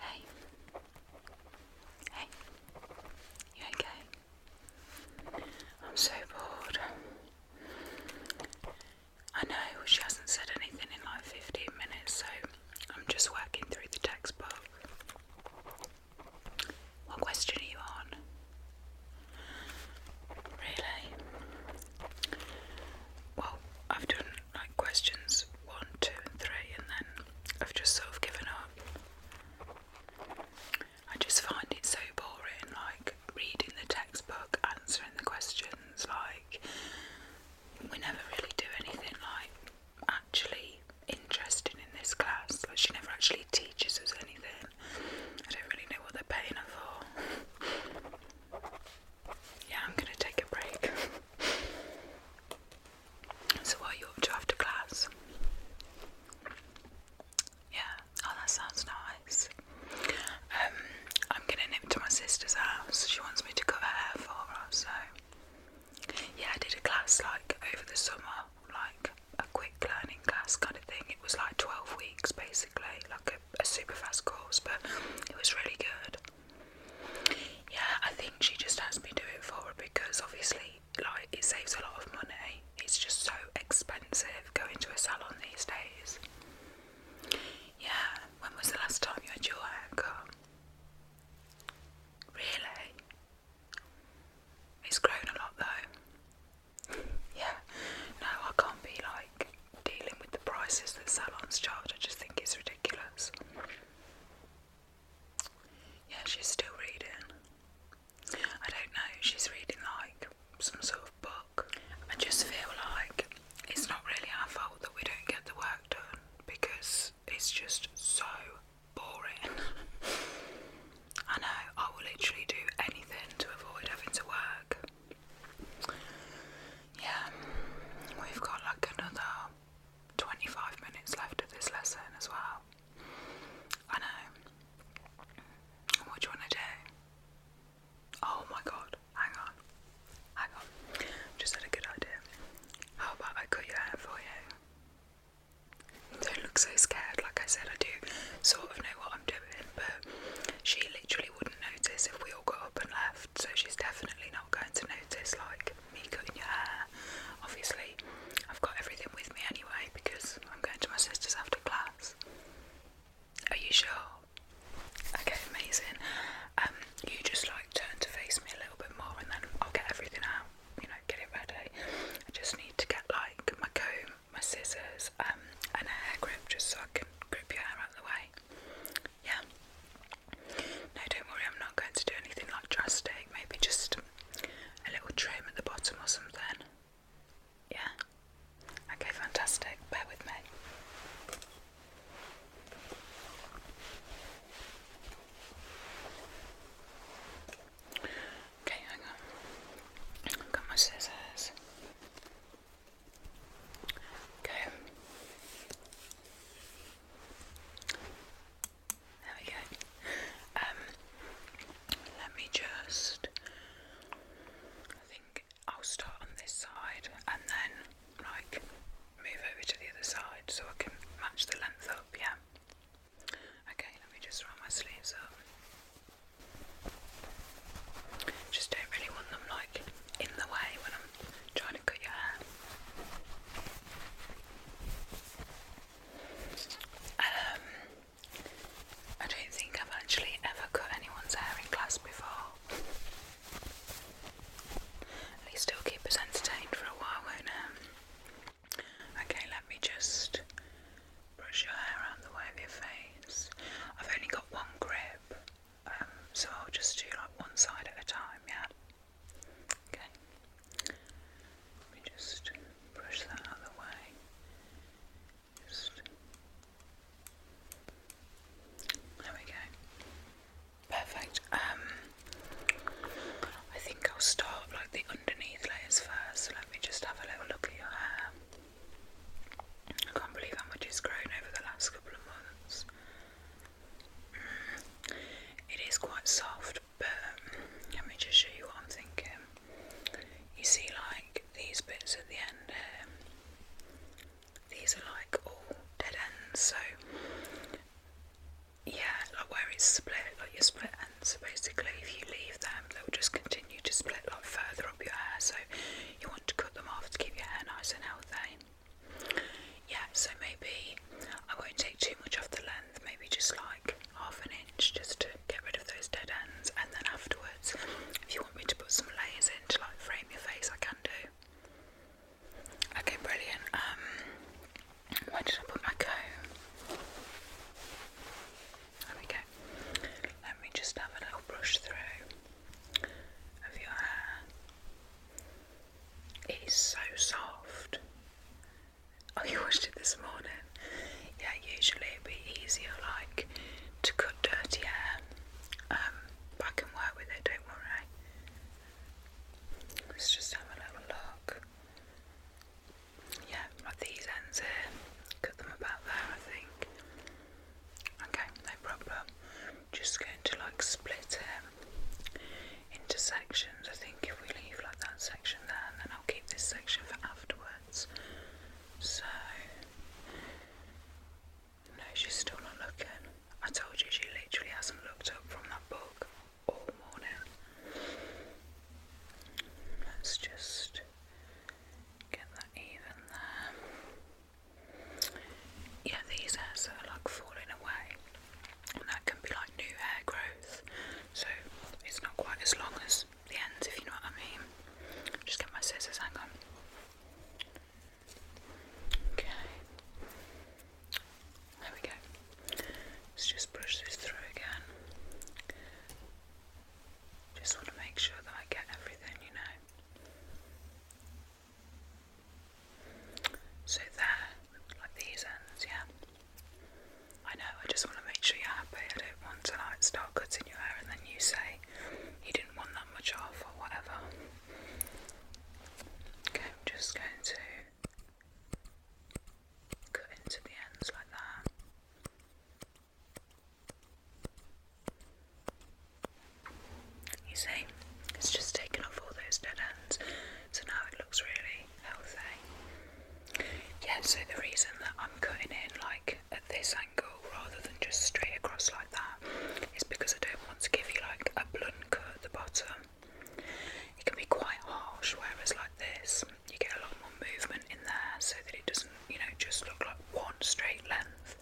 Hey. Hey. You okay? I'm so bored. I know she hasn't said anything in like 15 minutes, so I'm just working through the textbook. What question are you on? Really? Well, I've done like questions one, and then I've just sort of given up. I just find it so boring, like reading the textbook, answering the questions, like we never really do anything like actually interested in this class. Like she never actually teaches us anything. I don't really know what they're paying her for. yeah, I'm gonna take a break. so, what are you up to after class? Yeah, oh, that sounds nice. Um, I'm gonna my sister's house. She wants me to cover hair for her, so yeah, I did a class like over the summer, like a quick learning class kind of thing. It was like 12 weeks basically, like a, super fast course, but it was really good. Yeah, I think she just has me do it for her because obviously, like, it saves a lot of money. It's just so expensive going to a salon these days. Yeah, when was the last time you had your haircut? Really? It's grown a lot though. Yeah, no, I can't be like dealing with the prices that salons charge. I just think it's ridiculous. Yeah, she's still reading. I don't know, she's reading like some sort of book. I just feel like it's not really our fault that we don't get the work done because it's just so boring. I know, I will literally do anything to avoid having to work. Yeah, we've got like another 25 minutes left of this lesson as well. I know. What do you want to do? Oh my god, hang on. Hang on. Just had a good idea. How about I cut your hair for you? Don't look so scared, like I said, I do sort of know what I'm doing, but she literally wouldn't notice if we all got up and left, so she's definitely not going to notice, like me cutting your hair. Obviously, I've got everything with me anyway because I'm going to my sister's after class. Are you sure? Okay, amazing. Um, you just like turn to face me a little bit more and then I'll get everything out, you know, get it ready. I just need to get like my comb my scissors, um, and a hair grip just so I can grip your hair out of the way. Yeah. No, don't worry, I'm not going to do anything like drastic, maybe just a little trim at the bottom or something. Yeah? Okay, fantastic. Bear with me. Okay, hang on. I've got my scissors. Okay. There we go. Um, let me just. I think I'll start on this side and then, like, move over to the other side so I can match the length up, yeah? Okay, let me just roll my sleeves up. Just don't really want them like in the way when I'm trying to cut your hair. Um, I don't think I've actually ever cut anyone's hair in class before. At least it'll keep us entertained for a while, won't it? Okay, let me just brush your hair around the way of your face. I've only got one grip, um, so I'll just do like one side at a time, yeah? Okay. Let me just brush that out the way. Just there we go. Perfect. Um I think I'll start like the underneath layers first. So let me just have a little look at your hair. I can't believe how much it's grown over the last couple of months. Mm, it is quite soft, but um, let me just show you what I'm thinking. You see, like these bits at the end here, these are like all dead ends, so yeah, like where it's split, like your split ends. So basically, if you leave them, they'll just continue to split like further up your hair. So you want to cut them off to keep your hair nice and healthy. Yeah, so maybe I won't take too much off the length. Maybe just like half an inch, just to get rid of those dead ends. And then afterwards, if you want me to put some layers in to like frame your face, I can do. Okay, brilliant. Um, where did I put my comb? There we go. Let me just have a little brush through of your hair. It is so soft. Oh, you washed it this morning? Yeah, usually it'd be easier like to cut dirty hair. Um, but I can work with it, don't worry. Let's just have a little look yeah, like these ends here, cut them about there, I think. Okay, no problem. Just going to like split it into sections. I think if we leave like that section there, and then I'll keep this section for afterwards. So, no, she's still not looking. I told you she literally hasn't looked up from that book all morning. Let's just get that even there. Yeah, these hairs are like falling away, and that can be like new hair growth, so it's not quite as long as the ends, if you know what I mean. Just get my scissors, hang on. Okay. There we go. Let's just brush this through again. Just want to make sure that I get everything, you know. So there, like these ends, yeah. I know, I just want to make sure you're happy. I don't want to like start cutting your hair and then you say you didn't want that much off or whatever. Okay, I'm just going to cut into the ends like that. You see, it's just taken off all those dead ends, so now it looks really healthy. Yeah, so the reason that I'm cutting in like at this angle rather than just straight across like that is because I don't want to give you like a blunt cut at the bottom it can be quite harsh, whereas like this, you get a lot more movement in there so that it doesn't, you know, just look like one straight length.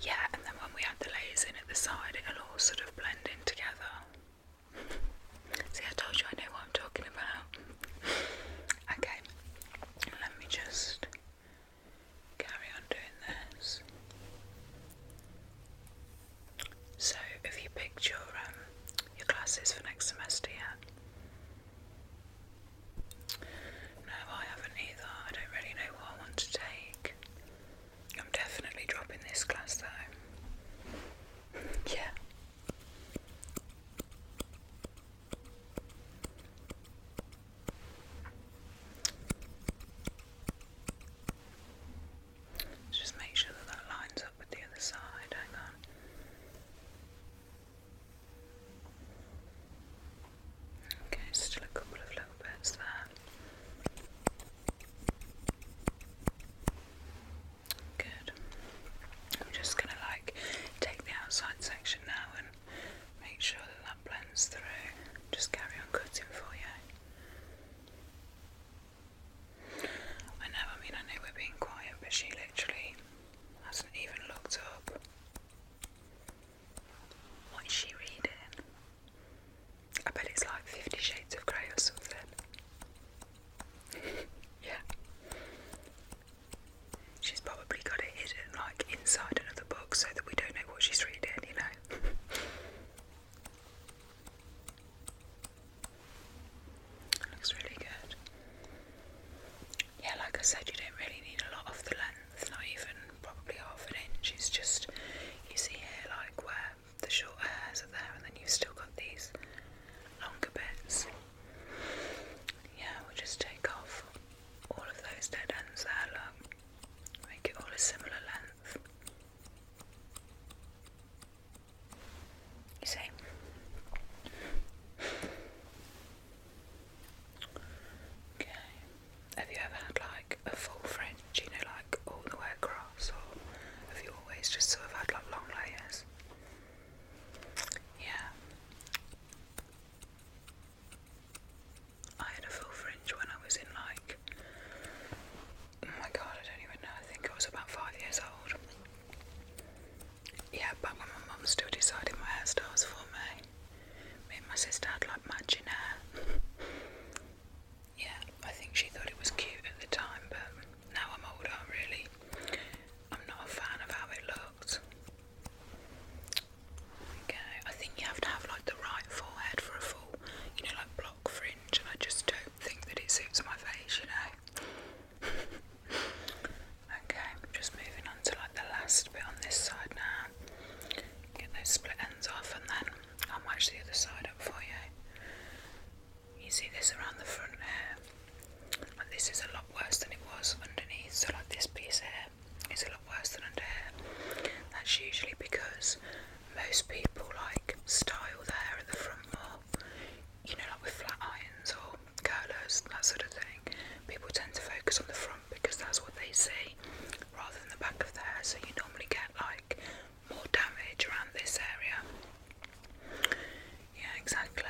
Yeah, and then when we add the layers in at the side, it'll all sort of blend in together. See, I told you I know what I'm talking about. okay, let me just carry on doing this. So, if you picked your um, your classes for next semester yet? No, I haven't either. I don't really know what I want to take. I'm definitely dropping this class though. yeah just make sure that that lines up with the other side. Hang on. Okay, still a couple of little bits there. Good. I'm just going to like take the outside section now and make sure that that blends through. Just carry on cutting for you. I know, I mean, I know we're being quiet, but she literally hasn't even looked up. What is she reading? I bet it's like Fifty Shades of Grey or something. yeah. She's probably got it hidden like inside another book so that we don't know what she's reading, you know. Looks really good. Yeah, like I said, you don't really need a lot of the length, not even probably half an inch. It's just you see here, like where the short hairs are there, and then you've still got these longer bits. Yeah, we just take off all of those dead ends there, look. Make it all a similar length. You say? Okay. Have you ever had like a full fringe, you know, like all the way across, or have you always just sort of had like long layers? Yeah. I had a full fringe when I was in like oh my god, I don't even know, I think I was about five years old. Yeah, but when my mum still decided my hairstyles for me. Me and my sister had like matching hair. yeah, I think she thought it was cute at the time, but now I'm older really. I'm not a fan of how it looked. Okay, I think you have to have like the right forehead for a full you know, like block fringe, and I just don't think that it suits my face, you know. okay, just moving on to like the last bit on this side now. Get those split ends off, and then I'll match the other side up for you. You see this around the front here? Like this is a lot worse than it was underneath, so like this piece here is a lot worse than under here. That's usually because most people like style their hair at the front more, you know, like with flat irons or curlers, that sort of thing. People tend to focus on the front because that's what they see rather than the back of their hair, so you normally get like more damage around this area. Yeah, exactly.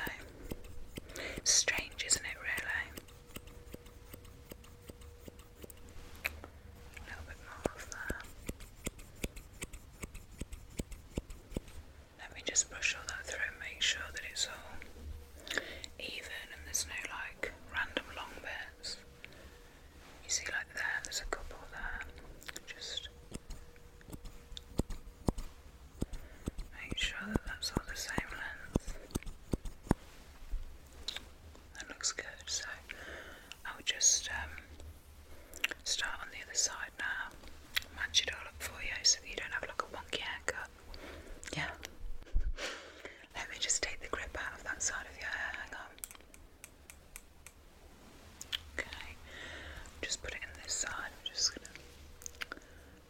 strange, isn't it, really? A little bit more of that. Let me just brush all that through and make sure that it's all even and there's no like random long bits. You see, like there, there's a couple there. Just make sure that that's all the same length that looks good. So I will just um, start on the other side now, match it all up for you so you don't have like a wonky haircut. Yeah. Let me just take the grip out of that side of your hair. Hang on. Okay. Just put it in this side. I'm just gonna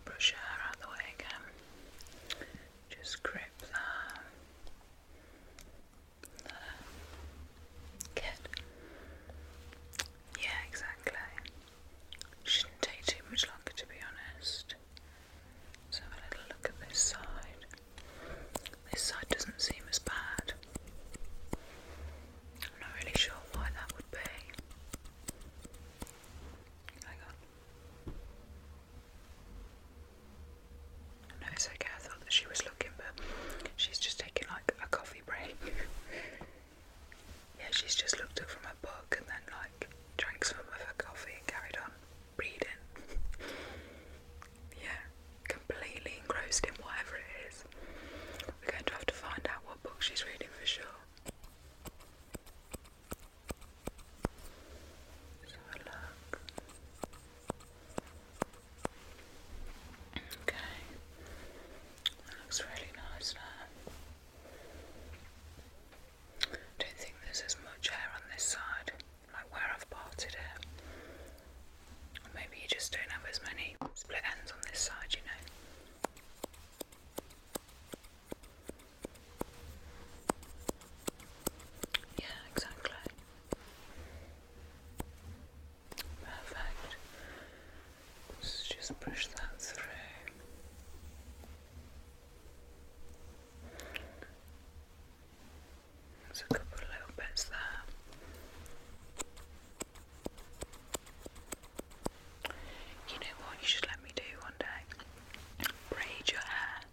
brush her out the way again. Just grip that. Good. Yeah, exactly. Shouldn't take too much longer to be honest. let a little look at this side. This side doesn't seem as bad. I'm not really sure why that would be. Hang on. No, okay. I thought that she was looking, but she's just taking like a coffee break. yeah, she's just looked up from her book and then like drank some of her coffee and carried on reading. yeah, completely engrossed in whatever it is. We're going to have to find out what book she's reading for sure let look. Okay, looks really nice now. I don't think there's as much hair on this side, like where I've parted it. maybe you just don't have as many split ends on this side, you know. Yeah, exactly. Perfect. Let's just push that through. There's a couple of little bits there. You know what? You should let me do one day. Braid your hair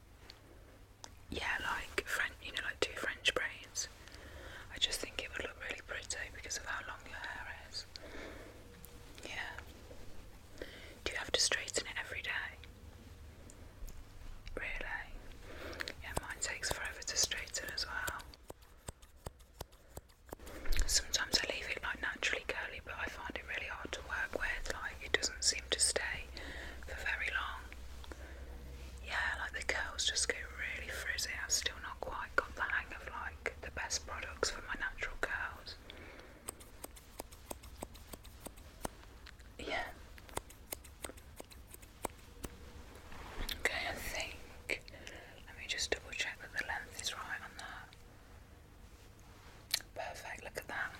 yeah, like French, you know, like two French braids. I just think it would look really pretty because of how long your hair is. Yeah. Do you have to straighten it every day? Really? Yeah, mine takes forever to straighten as well. Sometimes I leave it like naturally curly but I find it really hard to work with. Like it doesn't seem to stay for very long. Yeah, like the curls just go really frizzy. I've still not quite got the hang of like the best products for my natural curls. Yeah. Okay, I think. Let me just double check that the length is right on that. Perfect, look at that.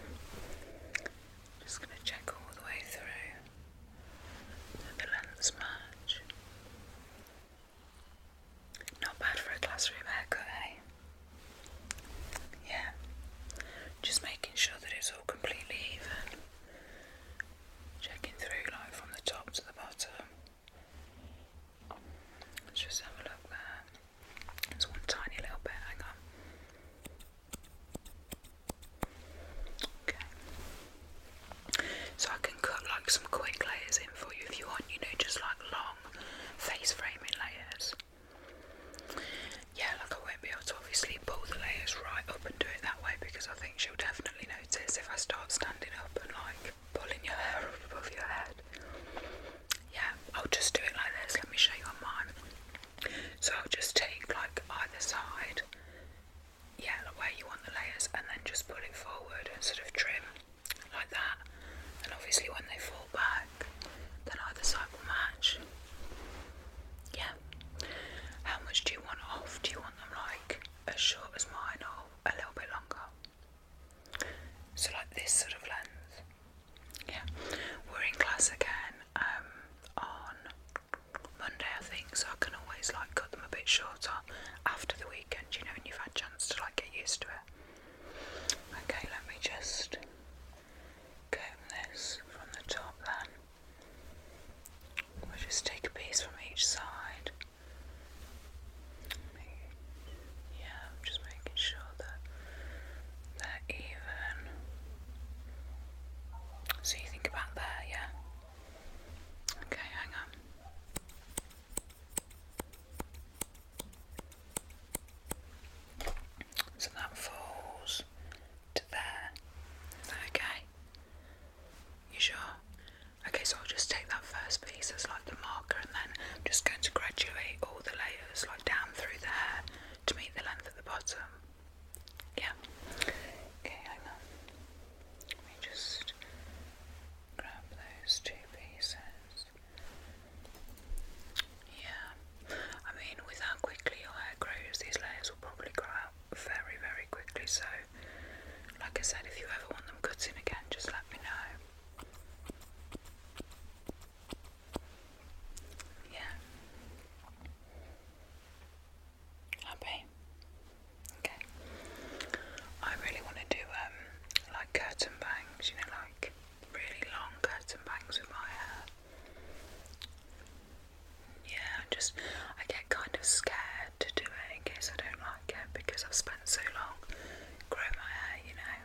Just going to check all the way through the lengths match. Not bad for a classroom haircut, eh? Yeah, just making sure that it's all completely even. Checking through like from the top to the bottom. just have a look there. There's one tiny little bit, hang on. Okay. So I can cut like some quick layers in for you if you want, you know, just like long face framing layers. Yeah, like I won't be able to obviously pull the layers right up and do it that way because I think she'll definitely notice if I start standing up and like pulling your hair up above your head yeah, I'll just do it like this. Let me show you on mine. So I'll just take like either side, yeah, like where you want the layers, and then just pull it forward and sort of trim like that. And obviously, when they fall back, then either side will match. Yeah. How much do you want off? Do you want them like as short as mine or a little bit longer? So like this sort of lens. Yeah. We're in class again um, on Monday I think, so I can always like cut them a bit shorter after the weekend, you know, when you've had a chance to like get used to it. Okay, let me just comb this from the top then. We'll just take a piece from each side yeah, I'm just making sure that they're even. So you think about there, yeah? Okay, hang on. So that falls to there. Is that okay? You sure? Okay, so I'll just take that first Pieces like the marker and then I'm just going to graduate all the layers like down through the hair to meet the length at the bottom. Yeah. Okay, hang on. Let me just grab those two pieces. Yeah. I mean with how quickly your hair grows, these layers will probably grow out very, very quickly, so like I said, if you ever want them cutting again, just let me know. Yeah. Happy. Okay. I really want to do um like curtain bangs, you know, like really long curtain bangs with my hair. Yeah, I just I get kind of scared to do it in case I don't like it because I've spent so long growing my hair, you know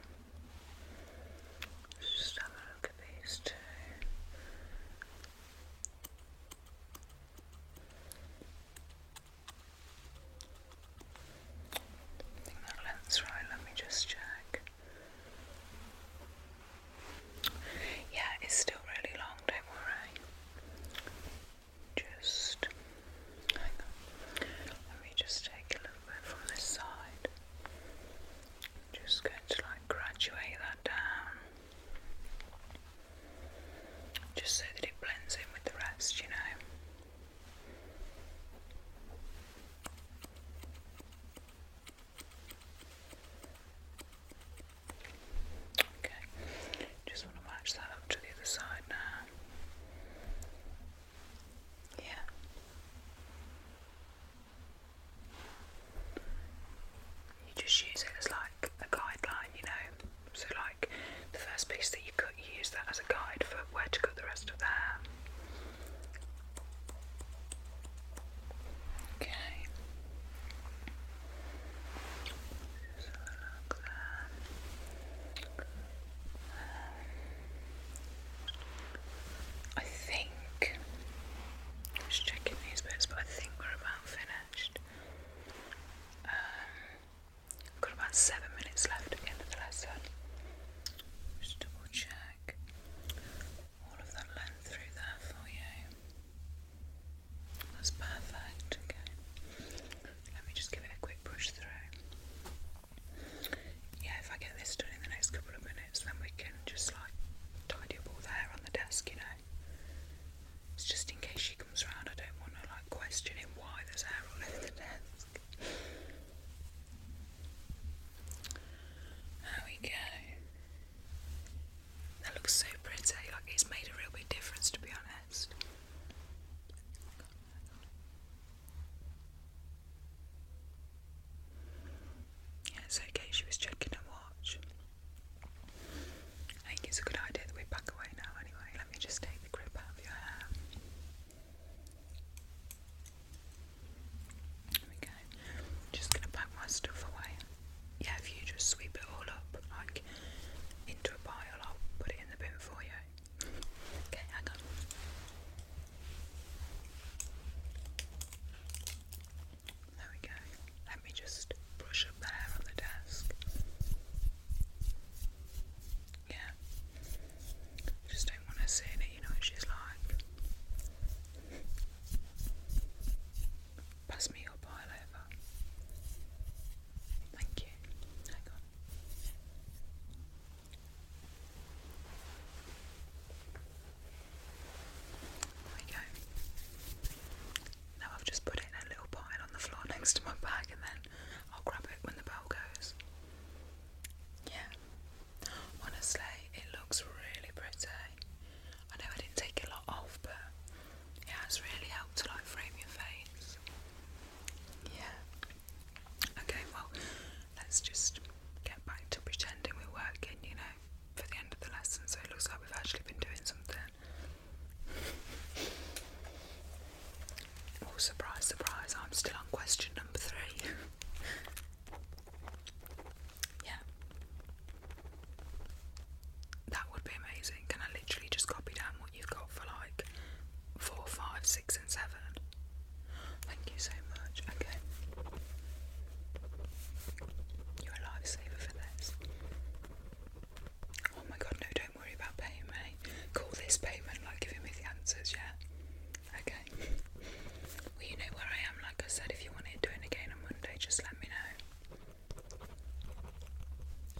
let just have a look at these two. I think that length's right, let me just check. Yeah, it's still really long, don't worry. Just let me just take a little bit from this side. just going to like graduate that down. Just so that it blends in with the rest, you know. Okay, just want to match that up to the other side now. Yeah. You just use it as like a guideline, you know. So, like the first piece that you cut, you use that as a guide for where to cut the rest of the hair. Okay. I think, just checking these bits, but I think we're about finished. Um, got about seven minutes left at the lesson. Just double check all of that length through there for you. That's perfect, okay. Let me just give it a quick push through. Yeah, if I get this done in the next couple of minutes, then we can just like tidy up all the hair on the desk, you know. It's just in case she comes round, I don't want to like question him why there's hair all over the desk. There we go. That looks so pretty, like it's made a real big difference to be honest. Yeah, it's okay, she was checking her watch. I think it's a good idea that we back away now anyway. Let me just take the grip out of your hair. There we go. just gonna pack my stuff away. Yeah, if you just sweep it all up, like into a pile, I'll put it in the bin for you. Okay, hang on. There we go. Let me just brush up the hair on the desk. Yeah. Just don't want to see it, you know what she's like. Pass me your pile over. Thank you. Hang on. There we go. Now I've just put it in a little pile on the floor next to my bag and then I'll grab it when the bell goes. Yeah. Honestly, it looks really pretty. I know I didn't take a lot off, but it has really helped to like frame your face. Yeah. Okay, well, let's just get back to pretending we're working, you know, for the end of the lesson, so it looks like we've actually been doing something. Oh, surprise, surprise, I'm still on question number three. yeah. That would be amazing. Can I literally just copy down you've got for like four, five, six, and seven. Thank you so much. Okay. You're a lifesaver for this. Oh my god, no, don't worry about paying Call this payment, like giving me the answers, yeah? Okay. Well, you know where I am, like I said, if you want it again on Monday, just let me know.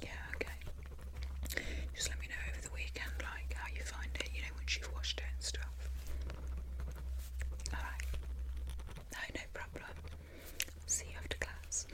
Yeah, okay. Just let me know over the weekend, like how you find it, you know, once you've washed it and stuff. Alright. No, no problem. See you after class.